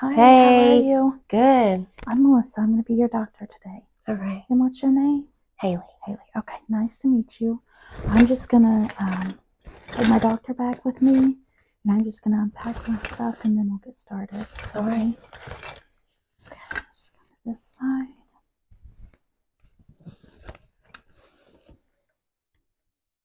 Hi, hey. how are you? Good. I'm Melissa. I'm going to be your doctor today. All right. And what's your name? Haley. Haley. Okay, nice to meet you. I'm just going to um, my doctor bag with me, and I'm just going to unpack my stuff, and then we'll get started. All right. Okay, this side.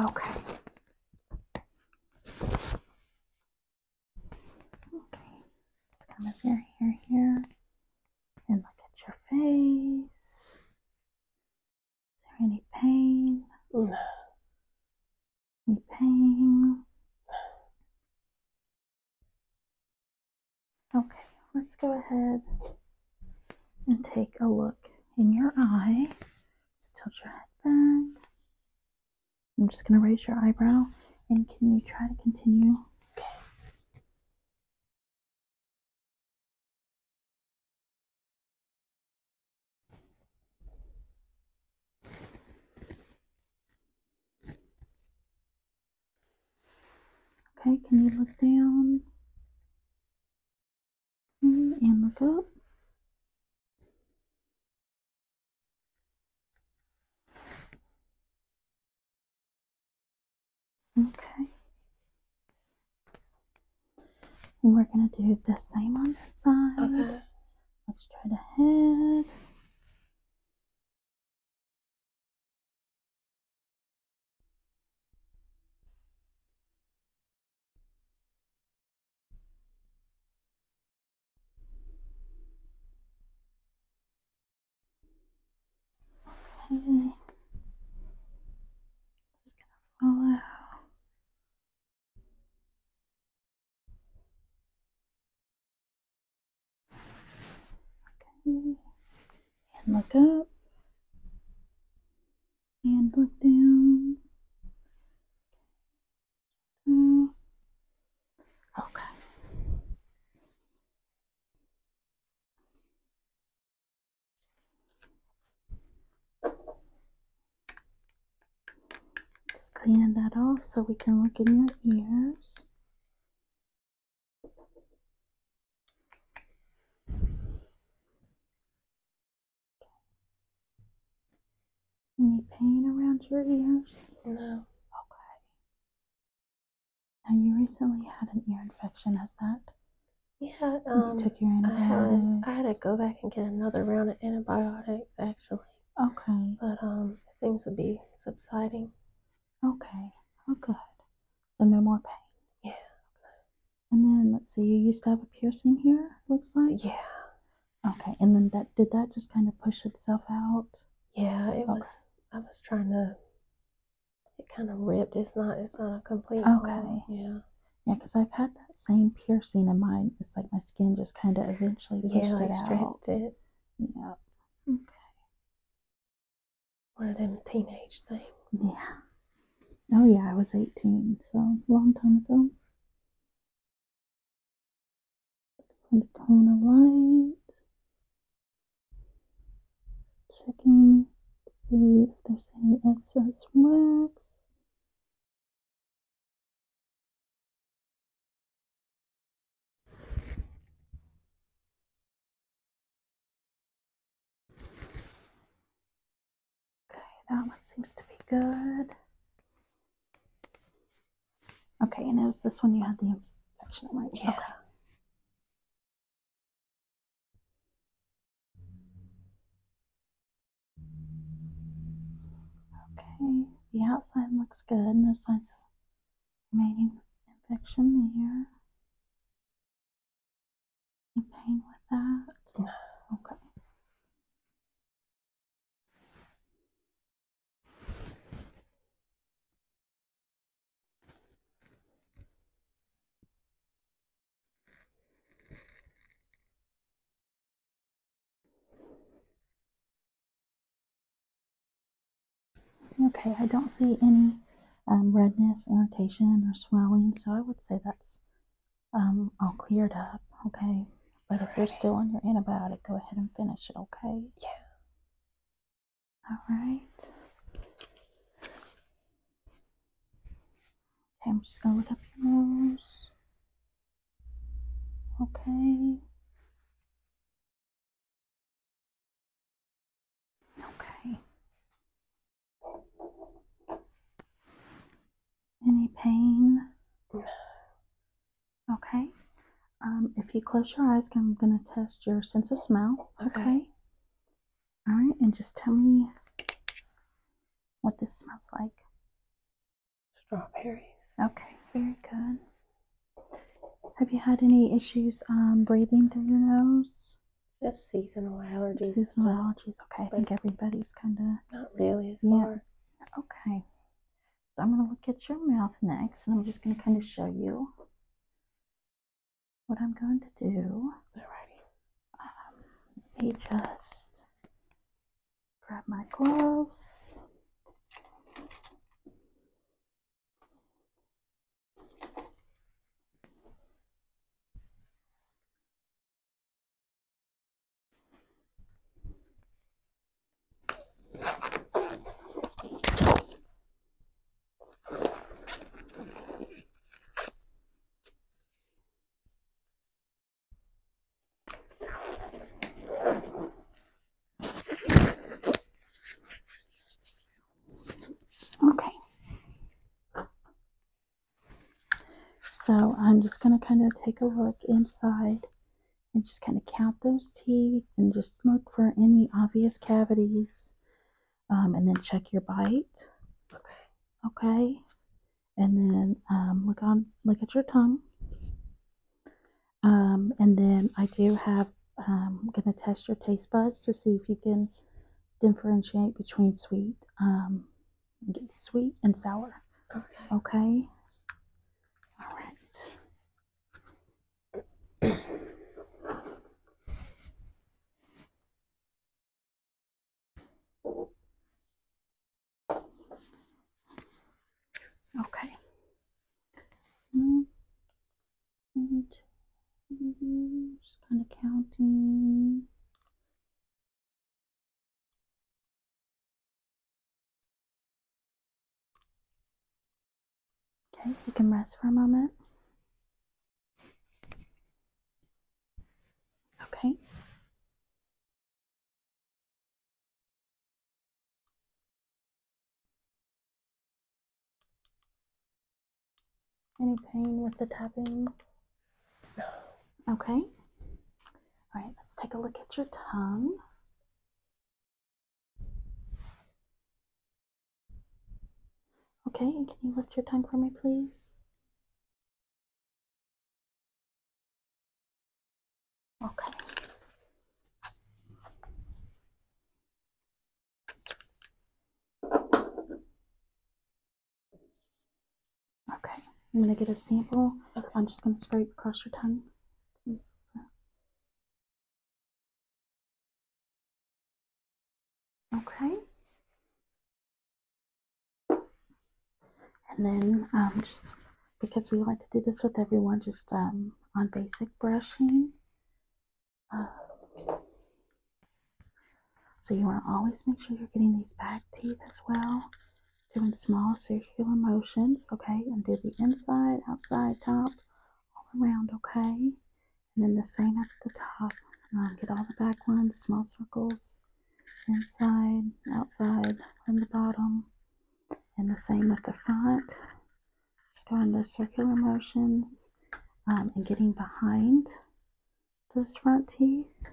Okay. Okay. Just come up your here and look at your face. Is there any pain? No. Any pain? Okay, let's go ahead and take a look in your eye. Just tilt your head back. I'm just going to raise your eyebrow. And can you try to continue? Okay. Okay, can you look down? Mm, and look up. Okay. And we're going to do the same on this side. Okay. Let's try the head. Okay. Just gonna follow. And look up. And look down. Okay. Just cleaning that off so we can look in your ears. Any pain around your ears? No. Okay. Now you recently had an ear infection, has that? Yeah, um, I had, I had to go back and get another round of antibiotics, actually. Okay. But um, things would be subsiding. Okay. Oh, good. So no more pain. Yeah. And then let's see. You used to have a piercing here. Looks like. Yeah. Okay. And then that did that just kind of push itself out. Yeah. It was. I was trying to. It kind of ripped. It's not. It's not a complete. Okay. Yeah. Yeah, because I've had that same piercing in mine. It's like my skin just kind of eventually pushed yeah, like it out. It. Yeah. Okay. One of them teenage things. Yeah. Oh, yeah, I was 18, so long time ago. The cone of light. Checking to see if there's any excess wax. Okay, that one seems to be good. Okay, and it was this one you had the infection, right? Yeah. Okay. Okay, the outside looks good, no signs of main infection here. Any pain with that? No. Okay. Okay, I don't see any um, redness, irritation, or swelling, so I would say that's um, all cleared up, okay? But if you're still on your antibiotic, go ahead and finish it, okay? Yeah. All right. Okay, I'm just gonna look up your nose. Okay. Okay. Any pain? No. Okay. Um, if you close your eyes, I'm going to test your sense of smell. okay. All right, and just tell me what this smells like. Strawberries. Okay, very good. Have you had any issues um, breathing through your nose? Just seasonal allergies. Seasonal allergies. Okay, I think everybody's kind of not really as yeah. Okay, so I'm gonna look at your mouth next, and I'm just gonna kind of show you what I'm going to do. Alrighty. Um, let me just grab my gloves. Okay. So I'm just going to kind of take a look inside and just kind of count those teeth and just look for any obvious cavities um, and then check your bite. Okay. Okay. And then um, look on, look at your tongue. Um, and then I do have, I'm um, going to test your taste buds to see if you can differentiate between sweet, um, sweet and sour. Okay. Okay. All right. Okay. And just kind of counting. Okay, you can rest for a moment. Okay. Any pain with the tapping? No. Okay. All right, let's take a look at your tongue. Okay, can you lift your tongue for me, please? Okay. Okay, I'm gonna get a sample. I'm just gonna scrape across your tongue. Okay. And then um, just because we like to do this with everyone, just um, on basic brushing. Uh, so you want to always make sure you're getting these back teeth as well. Doing small circular motions, okay? And do the inside, outside, top, all around, okay? And then the same at the top. Um, get all the back ones, small circles inside, outside, from the bottom, and the same with the front. Just Starting those circular motions um, and getting behind those front teeth,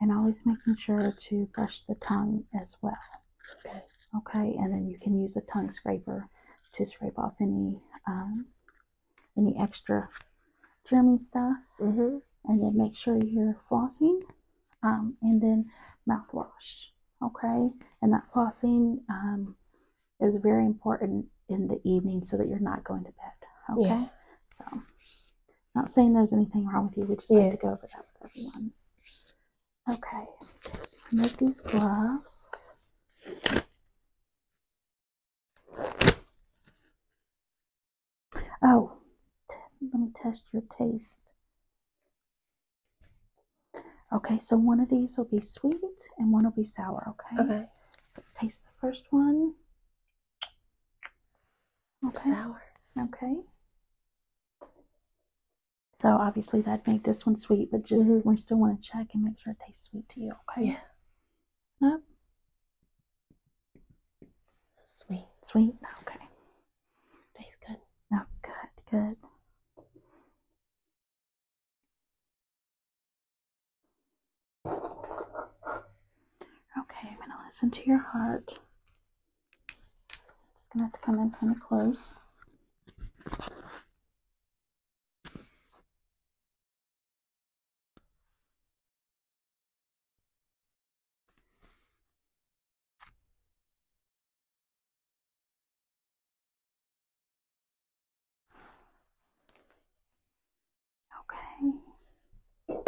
and always making sure to brush the tongue as well. Okay. Okay, and then you can use a tongue scraper to scrape off any um, any extra germy stuff, mm-hmm. and then make sure you're flossing um, and then mouthwash. Okay, and that flossing um, is very important in the evening so that you're not going to bed. Okay, so not saying there's anything wrong with you, we just yeah. like to go over that with everyone. Okay, make these gloves. Oh, let me test your taste. Okay, so one of these will be sweet and one will be sour, okay? Okay. let's taste the first one. Okay. Sour. Okay. So obviously that'd make this one sweet, but just mm-hmm. we still want to check and make sure it tastes sweet to you, okay? Yeah. Nope. Sweet, sweet. Okay. Tastes good. Oh, good, good. Okay, I'm going to listen to your heart. Just going to have to come in kind of close. Okay.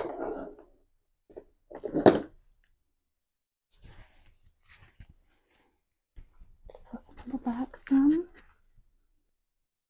Just let's pull back some.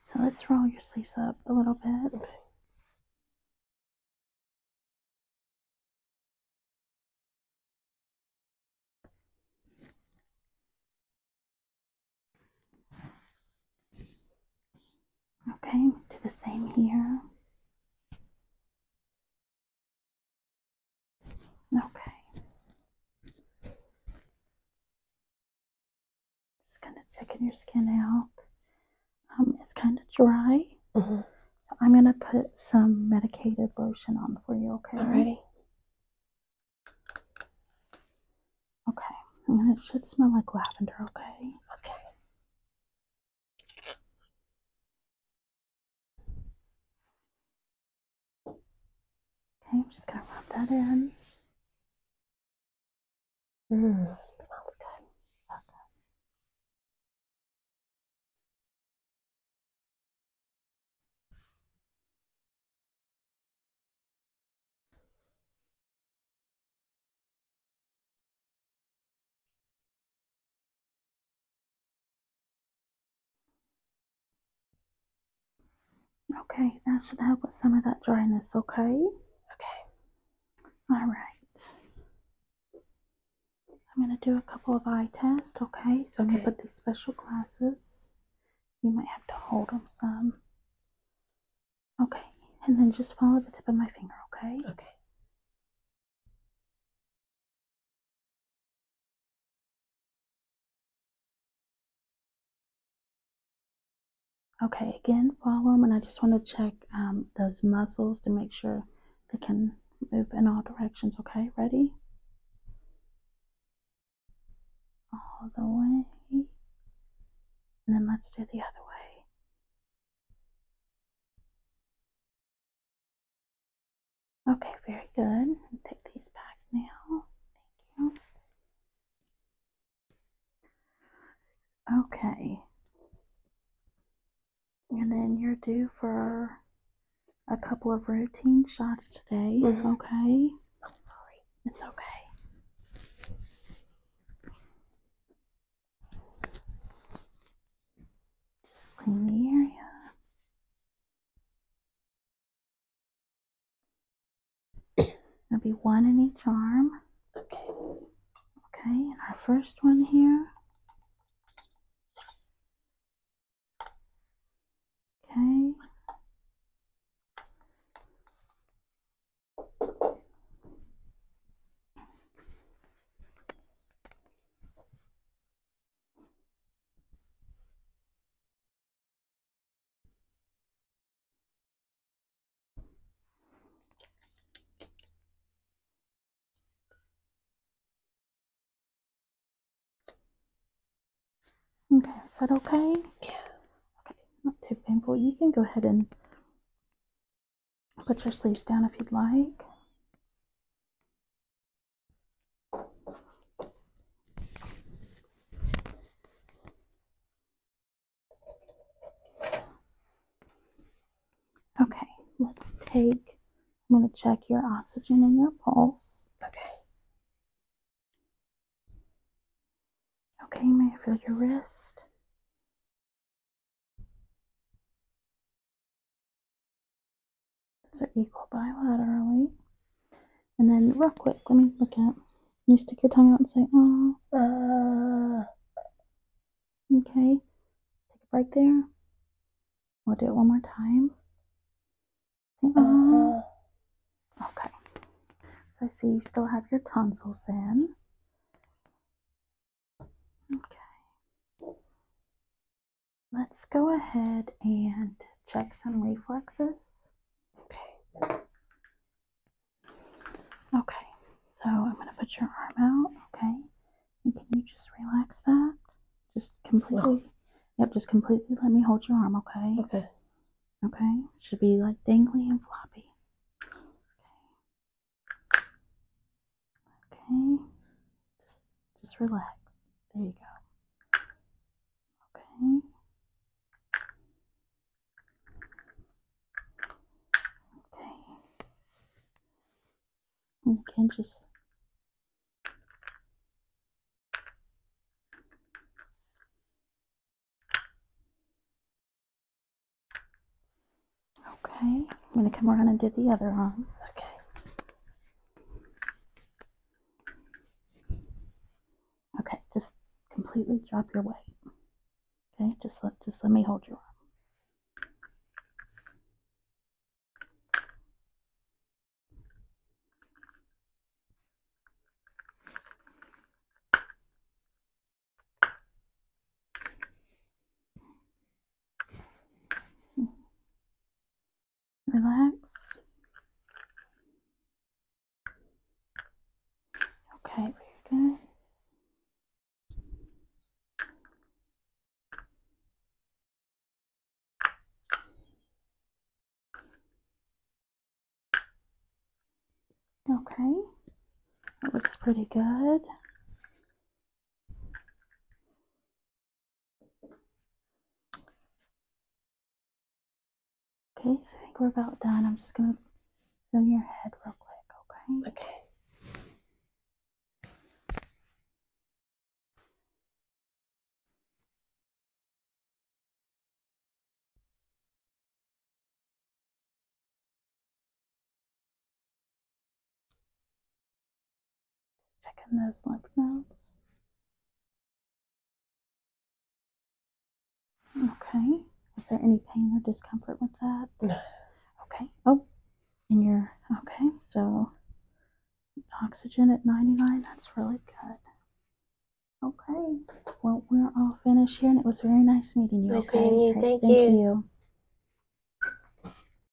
So let's roll your sleeves up a little bit. Okay. do the same here. Okay. Just kind of checking your skin out. Um, it's kind of dry. Mm-hmm. So I'm going to put some medicated lotion on for you, okay? Alrighty. Okay. And it should smell like lavender, okay? Okay. Okay, I'm just going to rub that in. Mmm, smells good. Love that. Okay, that should help with some of that dryness, okay? Okay. All right. I'm going to do a couple of eye tests, okay? So I'm going to put these special glasses. You might have to hold them some. Okay, and then just follow the tip of my finger, okay? Okay. Okay, again, follow them, and I just want to check um, those muscles to make sure they can move in all directions. Okay, ready? All the way. And then let's do the other way. Okay, very good. take these back now. Thank you. Okay. And then you're due for a couple of routine shots today, mm-hmm. okay? sorry. It's okay. Just clean the area. There'll be one in each arm. Okay. Okay, and our first one here. Okay. Okay, is that okay? Yeah. Okay, not too painful. You can go ahead and put your sleeves down if you'd like. Okay, let's take, I'm going to check your oxygen and your pulse. Okay. Okay, may I feel your wrist? Those are equal bilaterally. And then real quick, let me look at. You stick your tongue out and say, oh. Okay. Take a break there. We'll do it one more time. Oh. Okay. So I see you still have your tonsils in. Okay. Let's go ahead and check some reflexes. Okay. Okay, so I'm going to put your arm out. Okay. And can you just relax that? Just completely. Yep, just completely let me hold your arm, okay? Okay. Okay, should be like dangly and floppy. Okay. Okay. Just just relax. There you go. Okay. Okay. And you just Okay, I'm going to come around and do the other arm. Okay. Okay, just completely drop your weight. Okay, just let just let me hold your arm relax. Okay, Okay, that looks pretty good. Okay, so I think we're about done. I'm just gonna fill your head real quick, okay? Okay. Just checking those lymph nodes. Okay. Was there any pain or discomfort with that? No. Okay. Oh, And you're okay. So oxygen at 99. That's really good. Okay. Well, we're all finished here, and it was very nice meeting you. Okay, thank, you.